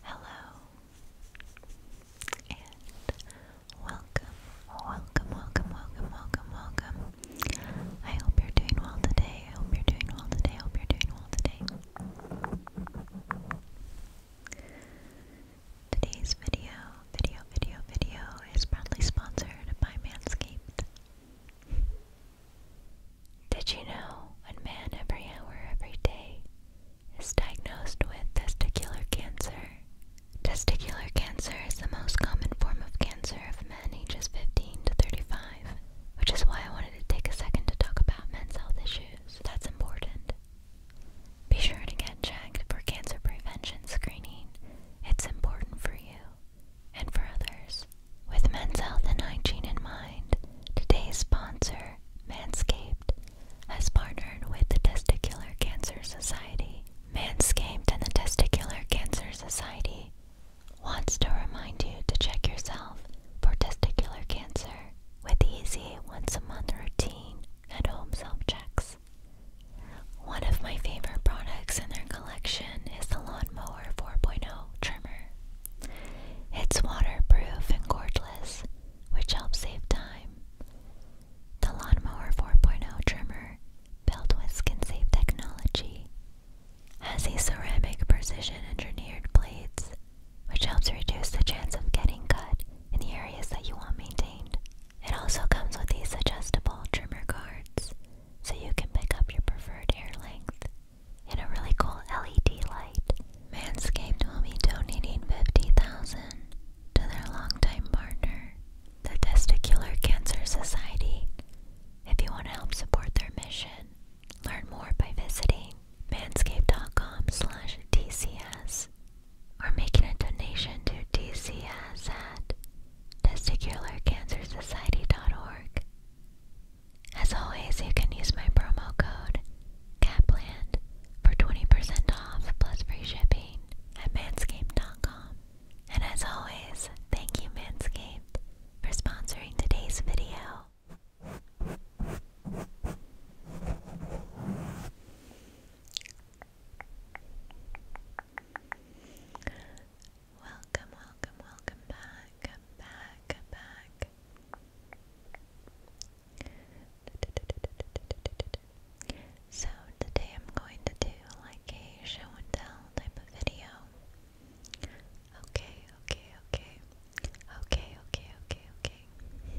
Hello and welcome, welcome, welcome, welcome, welcome, welcome. I hope you're doing well today. I hope you're doing well today. I hope you're doing well today. Today's video, video, video, video is proudly sponsored by Manscaped. Did you know one man every hour every day is diagnosed with testicular cancer? Testicular cancer is the most common form of cancer of men ages 15 to 35, which is why I wanted to take a second to talk about men's health issues. That's important. Be sure to get checked for cancer prevention screening. It's important for you and for others. With men's health and hygiene in mind, today's sponsor, Manscaped, has partnered with the Testicular Cancer Society. Manscaped and the Testicular Cancer Society wants to remind you to check yourself for testicular cancer with easy once a month routine at home self checks. One of my favorite products in their collection is the Lawnmower 4.0 trimmer. It's waterproof and cordless, which helps save time. The Lawnmower 4.0 trimmer, built with skin-safe technology, has a ceramic precision-engineered blades, which helps reduce the chance of getting cut in the areas that you want maintained. It also comes with these adjustable trimmer guards, so you can pick up your preferred hair length in a really cool LED light. Manscaped will be donating 50,000 to their longtime partner, the Testicular Cancer Society. If you want to help support their mission, learn more by visiting manscaped.com/tcs or making a donation to TCS at testicularcancersociety.org. As always, you can use my promo code CAPLAND for 20% off plus free shipping at manscaped.com. And as always, thank you Manscaped for sponsoring today's video. Welcome, welcome, welcome back, back, back. So, today I'm going to do like a show and tell type of video. Okay, okay, okay. Okay, okay, okay, okay.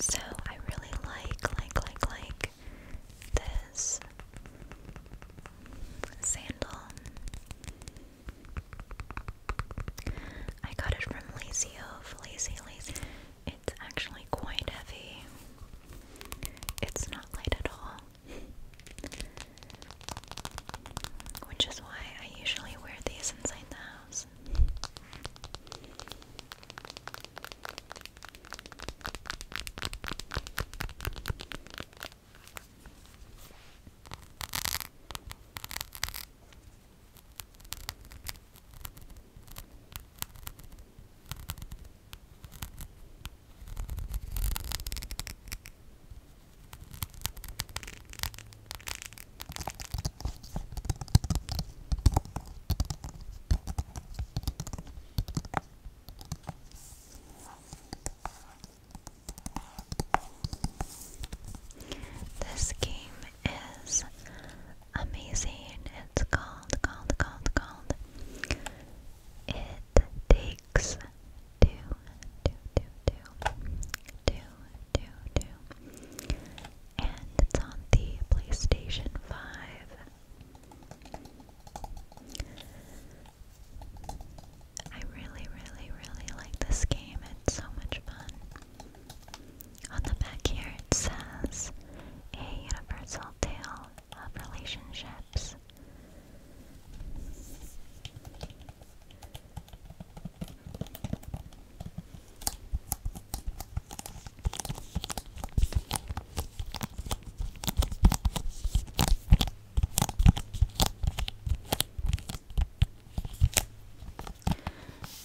So I really like, like, like, like this sandal. I got it from Lazy Ove, Lazy It's actually quite heavy. It's not light at all. Which is why I usually wear these inside the house. This game is amazing. It's called, called, called, called. It takes two, two, two, two, two, two, two, and it's on the PlayStation 5. I really, really, really like this game. It's so much fun. On the back here it says, A Universal Tale of relationships.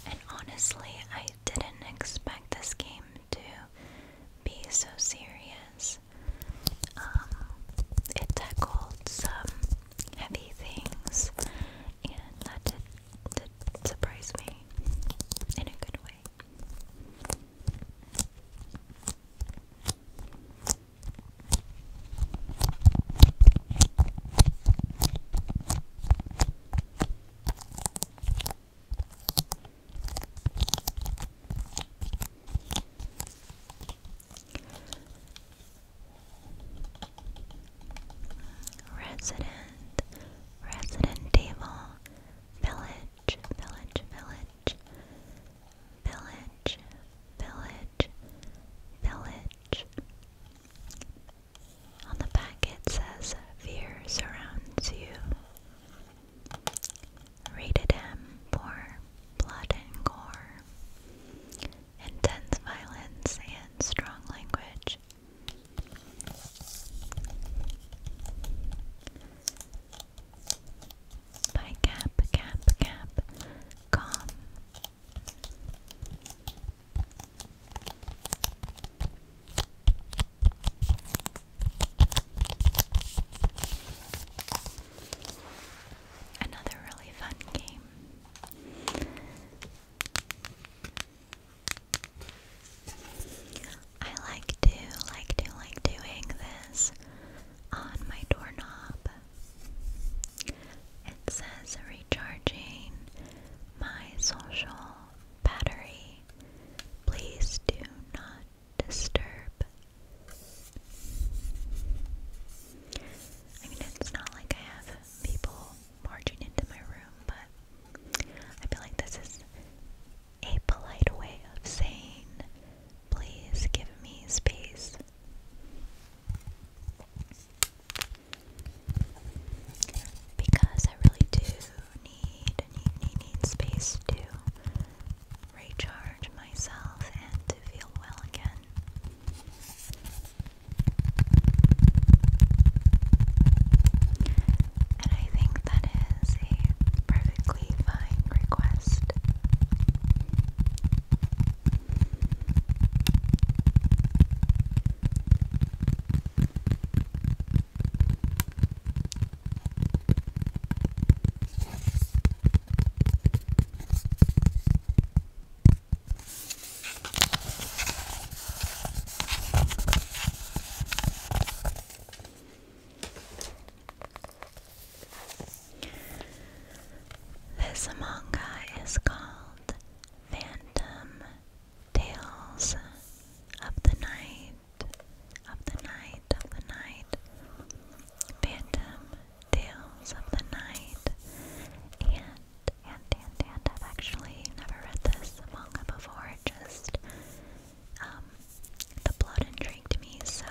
And honestly, I didn't expect this game to be so serious. Um, it tackled some heavy things, and that did, me in a good way. Resident, resident table, village, village, village, village, village, village. On the back says, Fear surrounds you rated M for blood and gore, intense violence, and strong language. By Cap, Cap, Cap, Calm. Another really fun game. I like to, like to, like doing this on my doorknob. It says recharging my social battery. Please do not disturb. I mean, it's not like I have people marching into my room, but I feel like this is a polite way of saying, please give me space. Because I really do need, need, need, need space to recharge myself and to feel well again. And I think that is a perfectly fine request. This manga is called Phantom Tales of the Night of the night, of the night, phantom tales of the night, and, and, and, and, I've actually never read this manga before, it just, um, the plot intrigued me, so,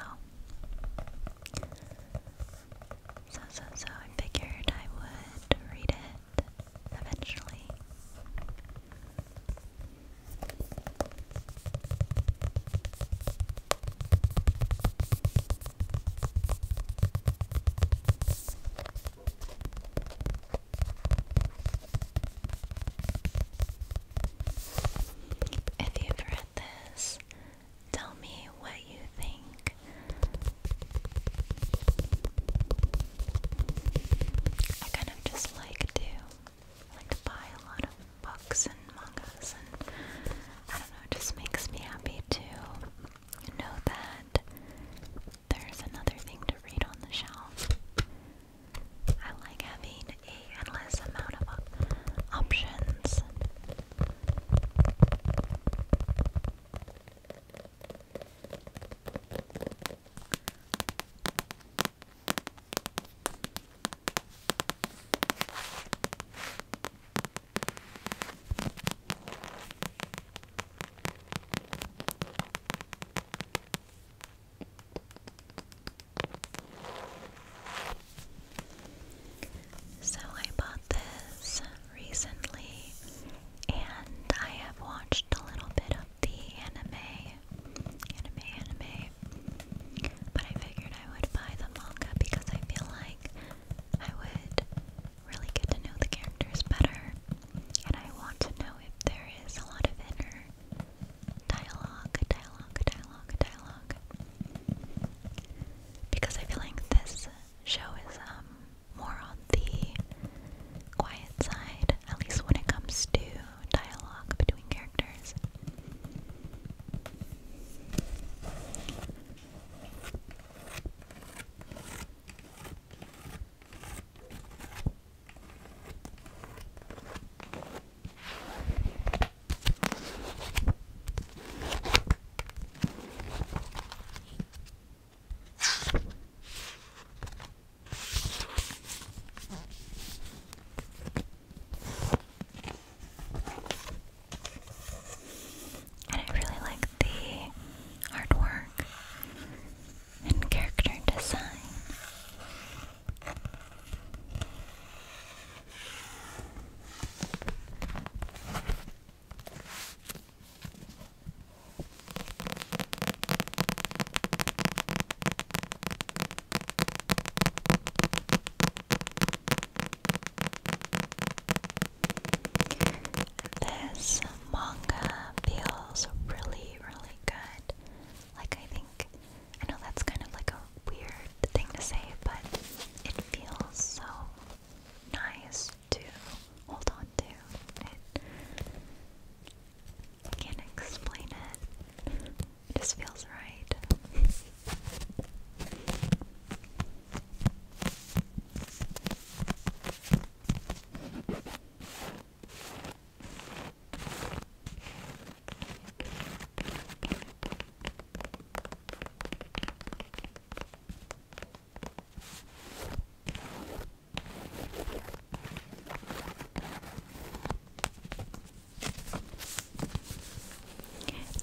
so, so, so, I figured I would read it eventually. If you've read this, tell me what you think. I kind of just like to I like to buy a lot of books and mangas, and I don't know, it just makes me happy to know that there's another thing to read on the shelf. I like having a endless amount of options. So I bought this recently and I have watched a little bit of the anime anime, anime. But I figured I would buy the manga because I feel like I would really get to know the characters better. And I want to know if there is a lot of inner dialogue, dialogue, dialogue, dialogue. Because I feel like this show is um, more on the quiet side, at least when it comes to dialogue between characters. And I really like the artwork and character design. This manga feels really, really good. Like, I think, I know that's kind of like a weird thing to say, but it feels so nice to hold on to. It I can't explain It just feels right.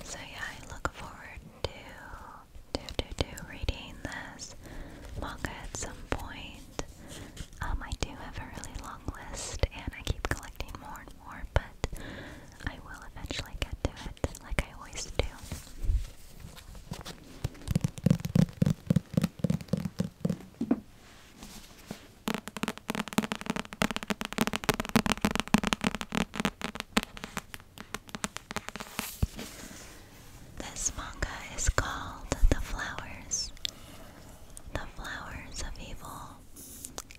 So yeah, I look forward to to to to reading this manga at some point. Um, I do have a really long list, and I keep collecting more and more, but I will eventually get to it, like I always do. This manga is called The Flowers, The Flowers of Evil,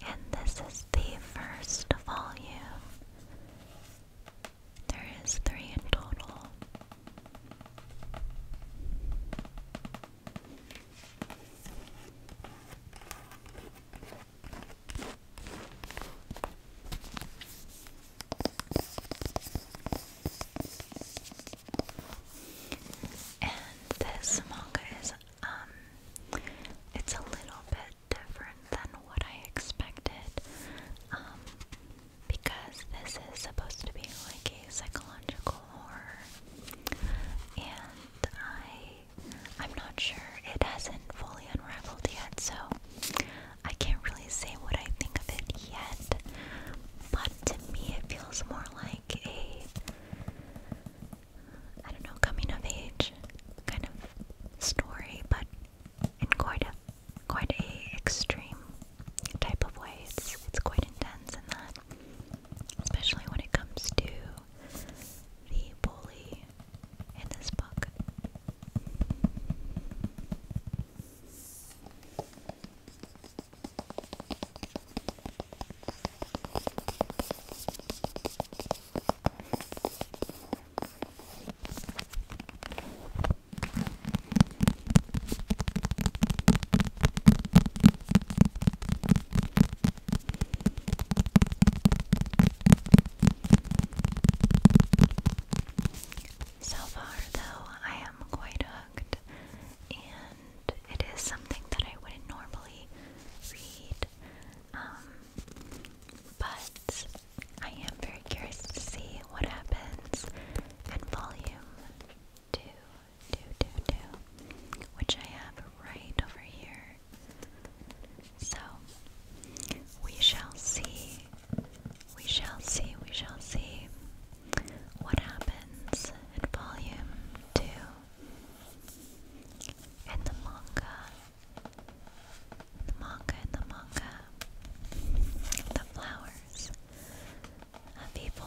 and this is the first volume. There is three in total. And this manga is um, it's a little bit different than what I expected. Um, because this is supposed to be like a psychological horror, and I I'm not sure it hasn't fully unraveled yet, so I can't really say what I think of it yet. But to me, it feels more like a I don't know coming of age kind of story, but in quite a quite a extreme type of way. It's, it's quite intense in that, especially when it comes to the bully in this book. So far, though, I am quite hooked, and it is something that I wouldn't normally read. Um, but I am very curious to see what happens in volume two, two, two, two, which I have right over here. So we shall see. We shall see. We shall see what happens in volume two in the manga. the manga. the manga the flowers of people.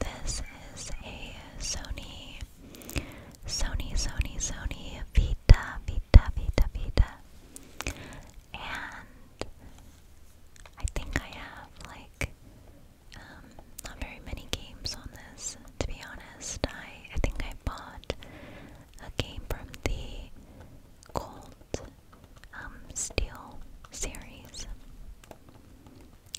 This is a Sony, Sony, Sony, Sony Vita, Vita, Vita, Vita, and I think I have like um, not very many games on this. To be honest, I I think I bought a game from the Colt um, steel series,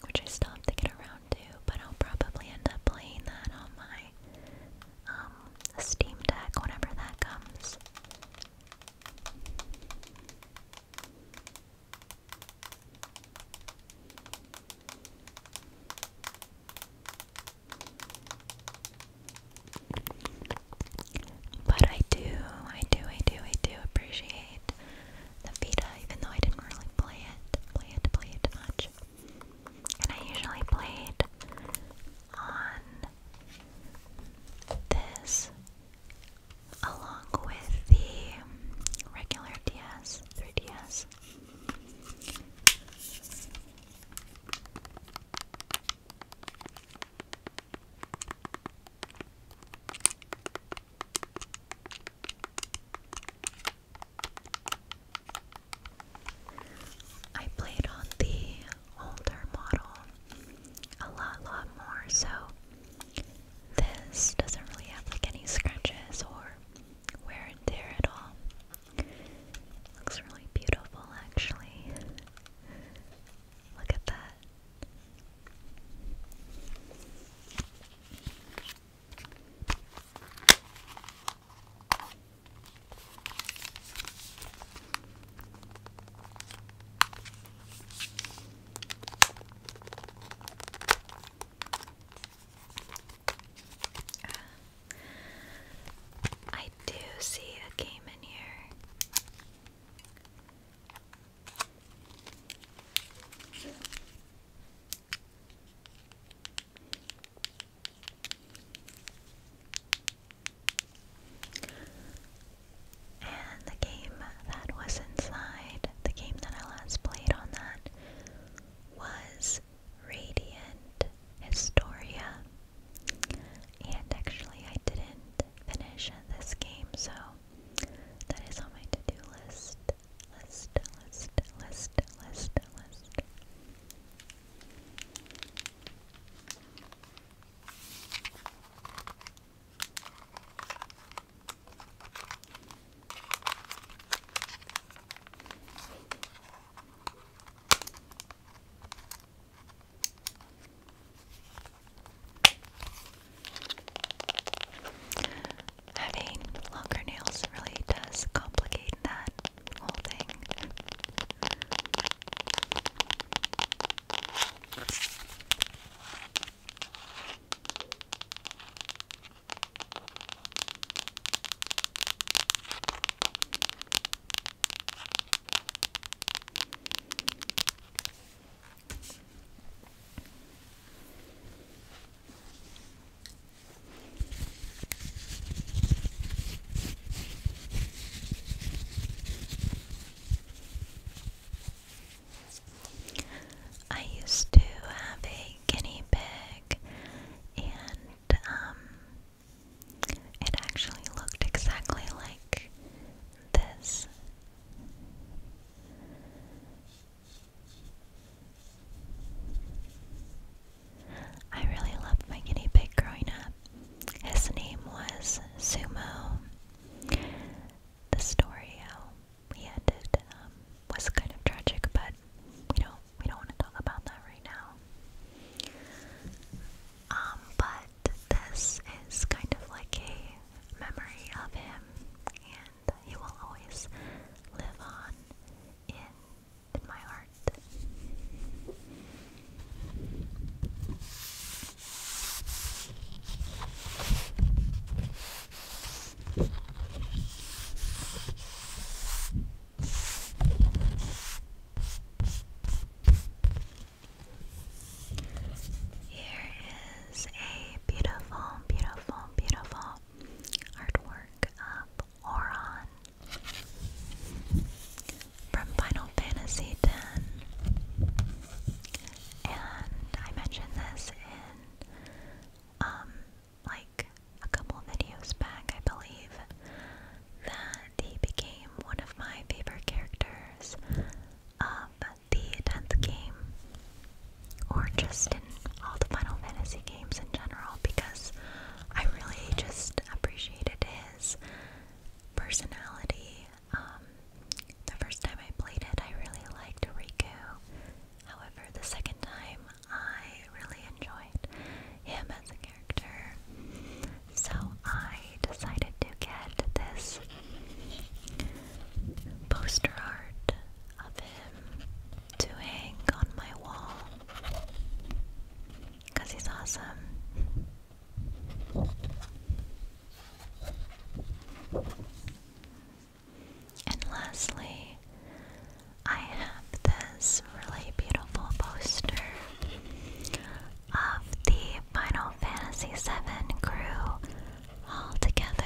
which I still have to get around to, but I'll probably end up playing that on my um, Steam Deck whenever that comes. But I do, I do, I do, I do appreciate the Vita, even though I didn't really play it, play it, play it much. And I usually played on this along with the regular DS, 3DS. I played on the older model a lot, lot more, so this doesn't really have like any scratches or wear and tear at all. Looks really beautiful, actually. Look at that. I do see a game in here. And the game that was inside, the game that I last played on that, was Radiant Historia. And actually, I didn't finish this game, so that is on my to do list. List, list, list, list, list. Having longer nails really does complicate that whole thing. I used to have a guinea pig and um, it actually looked exactly like this. I really loved my guinea pig growing up. His name was Sumo. The story how he ended um, was kind of tragic, but we don't we don't want to talk about that right now. Um, but this is kind of like a memory of him, and he will always live on in my heart. Here is a beautiful, beautiful, beautiful artwork of Oron from Final Fantasy X. And I mentioned this in um like a couple videos back, I believe, that he became one of my favorite characters of the 10th game, or just in all the Final Fantasy games in general, because I really just appreciated his personality. Um, the first time I played it, I really liked Riku. However, the second time, I really enjoyed him as a character. So I decided to get this poster art of him to on my wall because he's awesome. And lastly, I have this really beautiful poster of the Final Fantasy VII crew all together.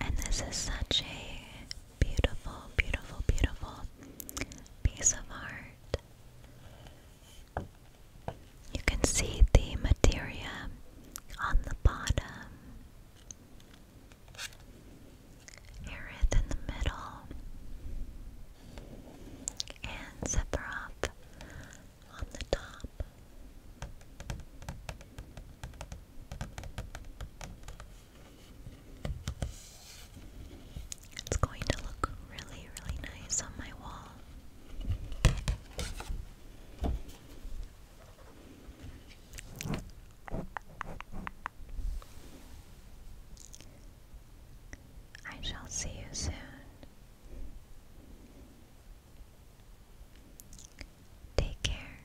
And this is such a Beautiful, beautiful, beautiful piece of art. You can see the materia on the bottom, Aerith in the middle, and Sephiroth on the top. It's going to look really, really nice on my wall. I shall see you soon. Take care.